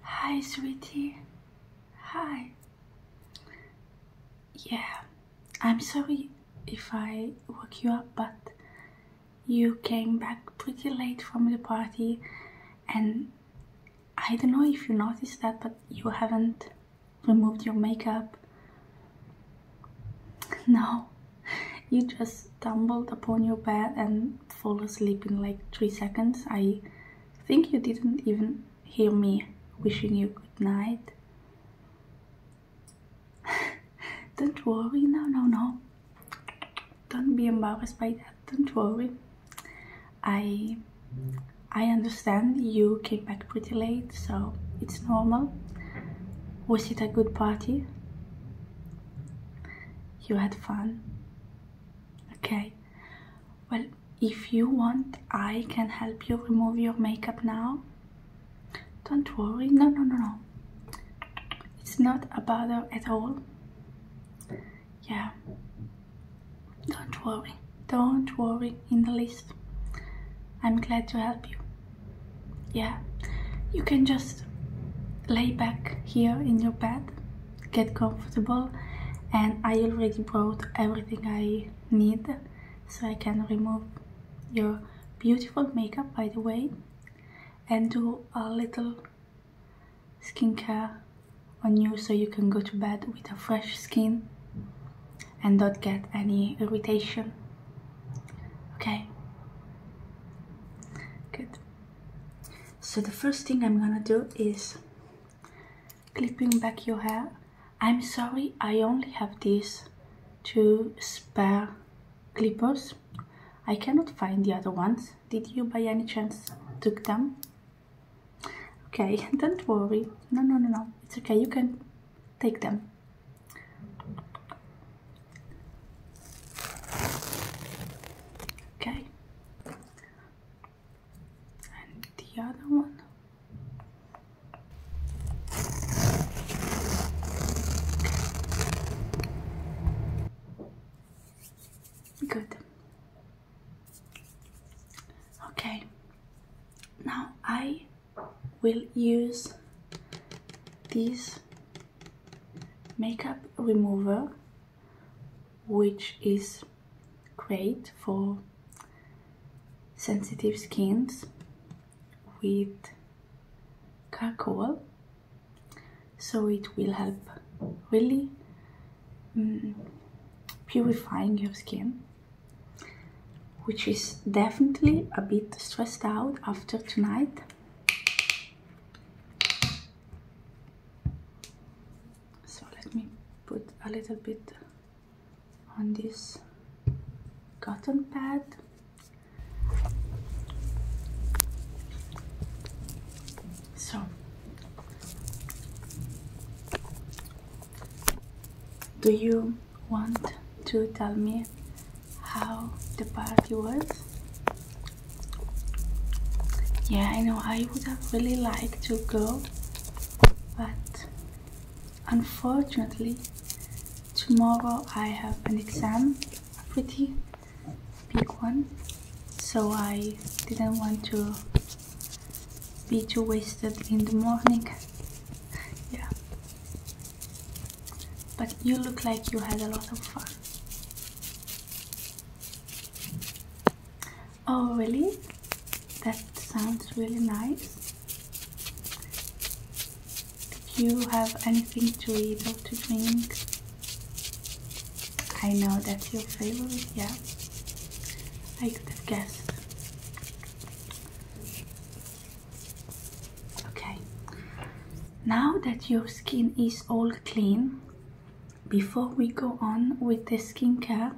Hi, sweetie. Hi. Yeah, I'm sorry if I woke you up, but you came back pretty late from the party, and I don't know if you noticed that, but you haven't removed your makeup. No, you just stumbled upon your bed and fall asleep in like three seconds. I think you didn't even hear me wishing you good night. Don't worry, no, no, no. Don't be embarrassed by that. Don't worry. I I understand you came back pretty late, so it's normal. Was it a good party? You had fun okay well if you want i can help you remove your makeup now don't worry no no no no it's not a bother at all yeah don't worry don't worry in the least i'm glad to help you yeah you can just lay back here in your bed get comfortable and I already brought everything I need so I can remove your beautiful makeup by the way and do a little skincare on you so you can go to bed with a fresh skin and not get any irritation okay good so the first thing I'm gonna do is clipping back your hair. I'm sorry, I only have these two spare clippers. I cannot find the other ones. Did you by any chance took them? Okay, don't worry. No, no, no, no. It's okay. You can take them. Okay and the other one good okay now I will use this makeup remover which is great for sensitive skins with charcoal so it will help really mm, purifying your skin which is definitely a bit stressed out after tonight so let me put a little bit on this cotton pad so do you want to tell me how the party was yeah i know i would have really liked to go but unfortunately tomorrow i have an exam a pretty big one so i didn't want to be too wasted in the morning yeah but you look like you had a lot of fun Oh, really? That sounds really nice. Did you have anything to eat or to drink? I know that's your favorite, yeah. I could have guessed. Okay, now that your skin is all clean, before we go on with the skincare,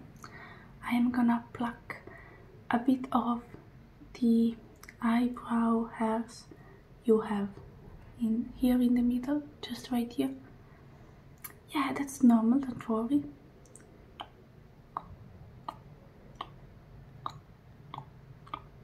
I am gonna pluck a bit of the eyebrow hairs you have in here in the middle, just right here. Yeah, that's normal, don't worry.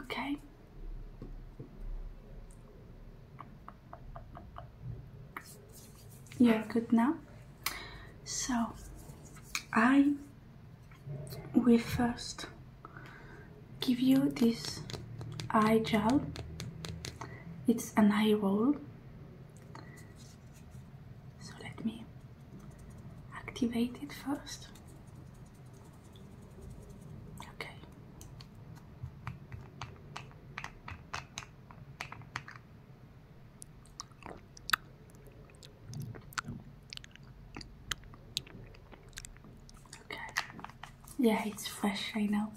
Okay. You're good now. So I will first give you this eye gel. It's an eye roll. So let me activate it first. Okay. Okay. Yeah, it's fresh right now.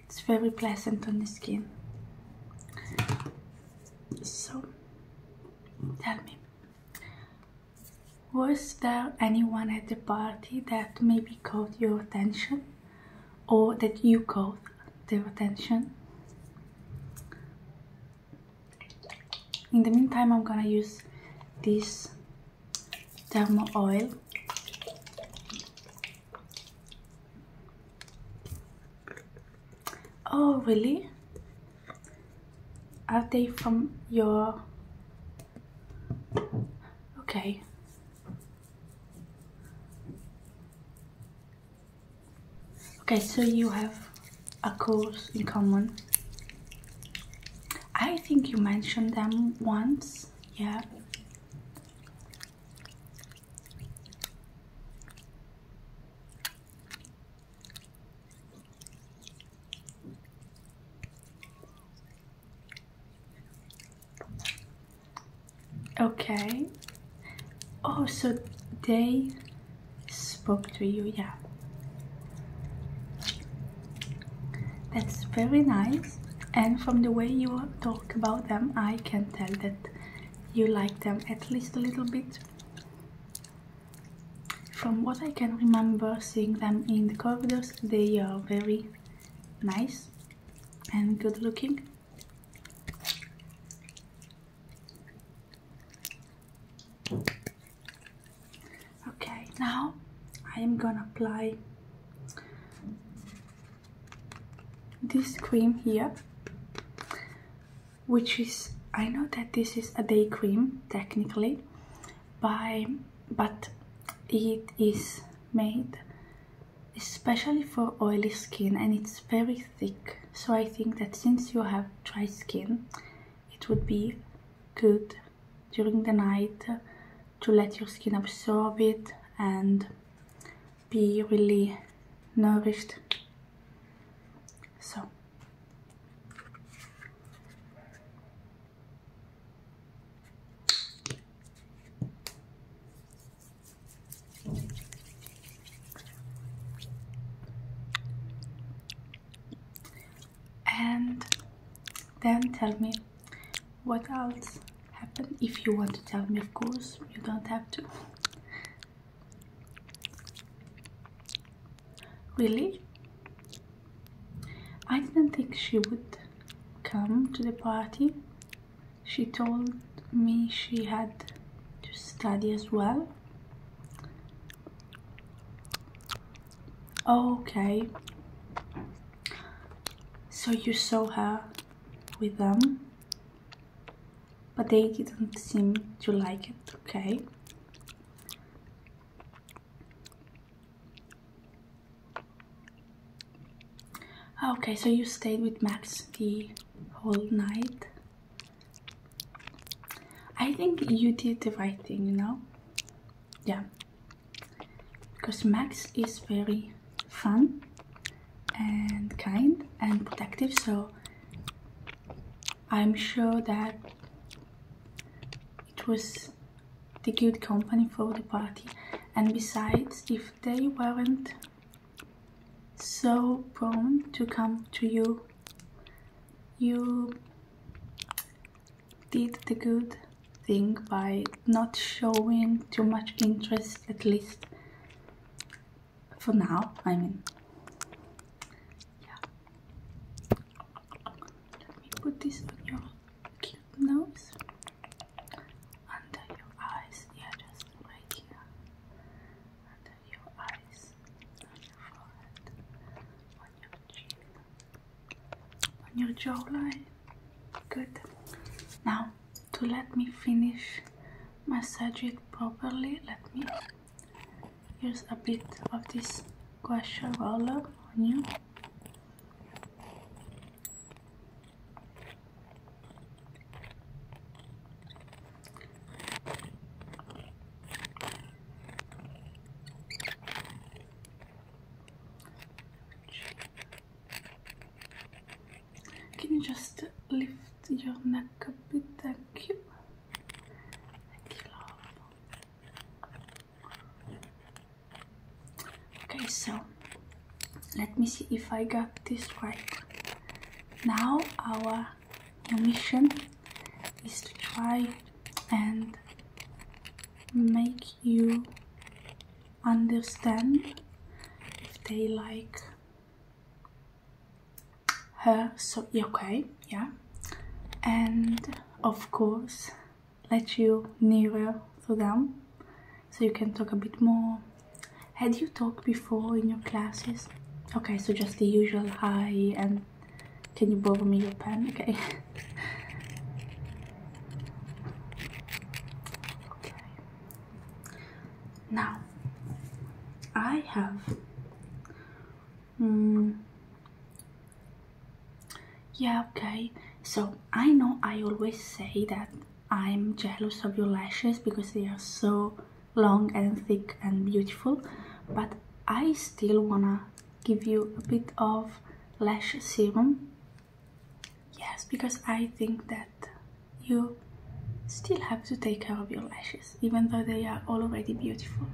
It's very pleasant on the skin. So, tell me, was there anyone at the party that maybe caught your attention or that you caught their attention? In the meantime, I'm gonna use this thermal oil Oh, really? Are they from your... Okay. Okay, so you have a course in common. I think you mentioned them once, yeah. Okay. Oh, so they spoke to you, yeah. That's very nice. And from the way you talk about them, I can tell that you like them at least a little bit. From what I can remember seeing them in the corridors, they are very nice and good looking. Okay, now I am gonna apply this cream here which is I know that this is a day cream technically by but it is made especially for oily skin and it's very thick so I think that since you have dry skin it would be good during the night to let your skin absorb it and be really nourished so and then tell me what else happened if you want to tell me of course you don't have to Really? I didn't think she would come to the party. She told me she had to study as well. Okay. So you saw her with them, but they didn't seem to like it, okay? Ah, okay, so you stayed with Max the whole night. I think you did the right thing, you know? Yeah. Because Max is very fun and kind and protective, so I'm sure that it was the good company for the party and besides if they weren't so prone to come to you you did the good thing by not showing too much interest at least for now I mean yeah let me put this on your nose under your eyes yeah just right here under your eyes on your forehead on your chin on your jawline good now to let me finish massage it properly let me Here's a bit of this guasha roller on you. Can you just lift your neck a bit? Okay, so let me see if I got this right. Now our mission is to try and make you understand if they like her so okay yeah and of course let you nearer to them so you can talk a bit more had you talked before in your classes okay so just the usual hi and can you borrow me your pen okay now I have. Hmm, yeah, okay. So I know I always say that I'm jealous of your lashes because they are so long and thick and beautiful, but I still wanna give you a bit of lash serum. Yes, because I think that you still have to take care of your lashes, even though they are already beautiful.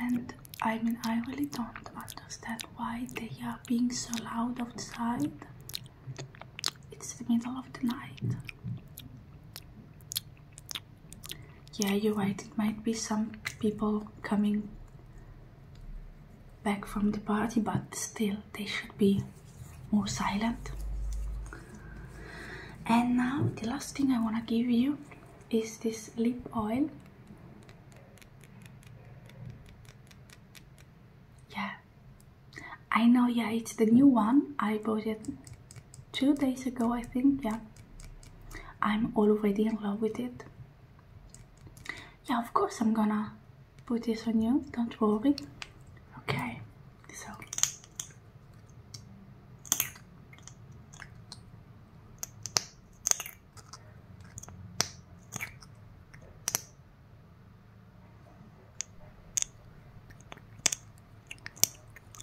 And I mean, I really don't understand why they are being so loud outside. It's the middle of the night. Yeah, you're right, it might be some people coming back from the party, but still, they should be more silent and now the last thing I want to give you is this lip oil yeah I know yeah it's the new one I bought it two days ago I think yeah I'm already in love with it yeah of course I'm gonna put this on you, don't worry. Okay, so.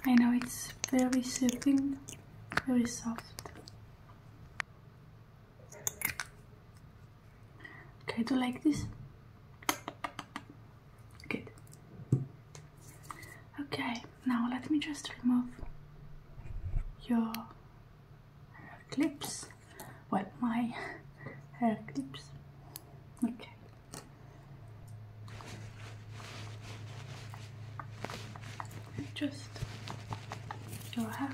I know it's very soothing, very soft. Okay, do like this. Good. Okay, now let me just remove your clips. Well, my hair clips. Okay. Just your hair.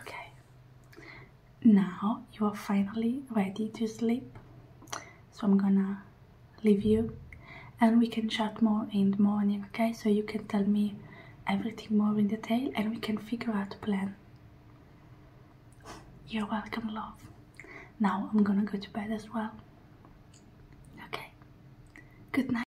Okay, now you are finally ready to sleep. So I'm gonna leave you and we can chat more in the morning, okay? So you can tell me everything more in detail and we can figure out a plan. You're welcome, love. Now I'm gonna go to bed as well. Okay, good night.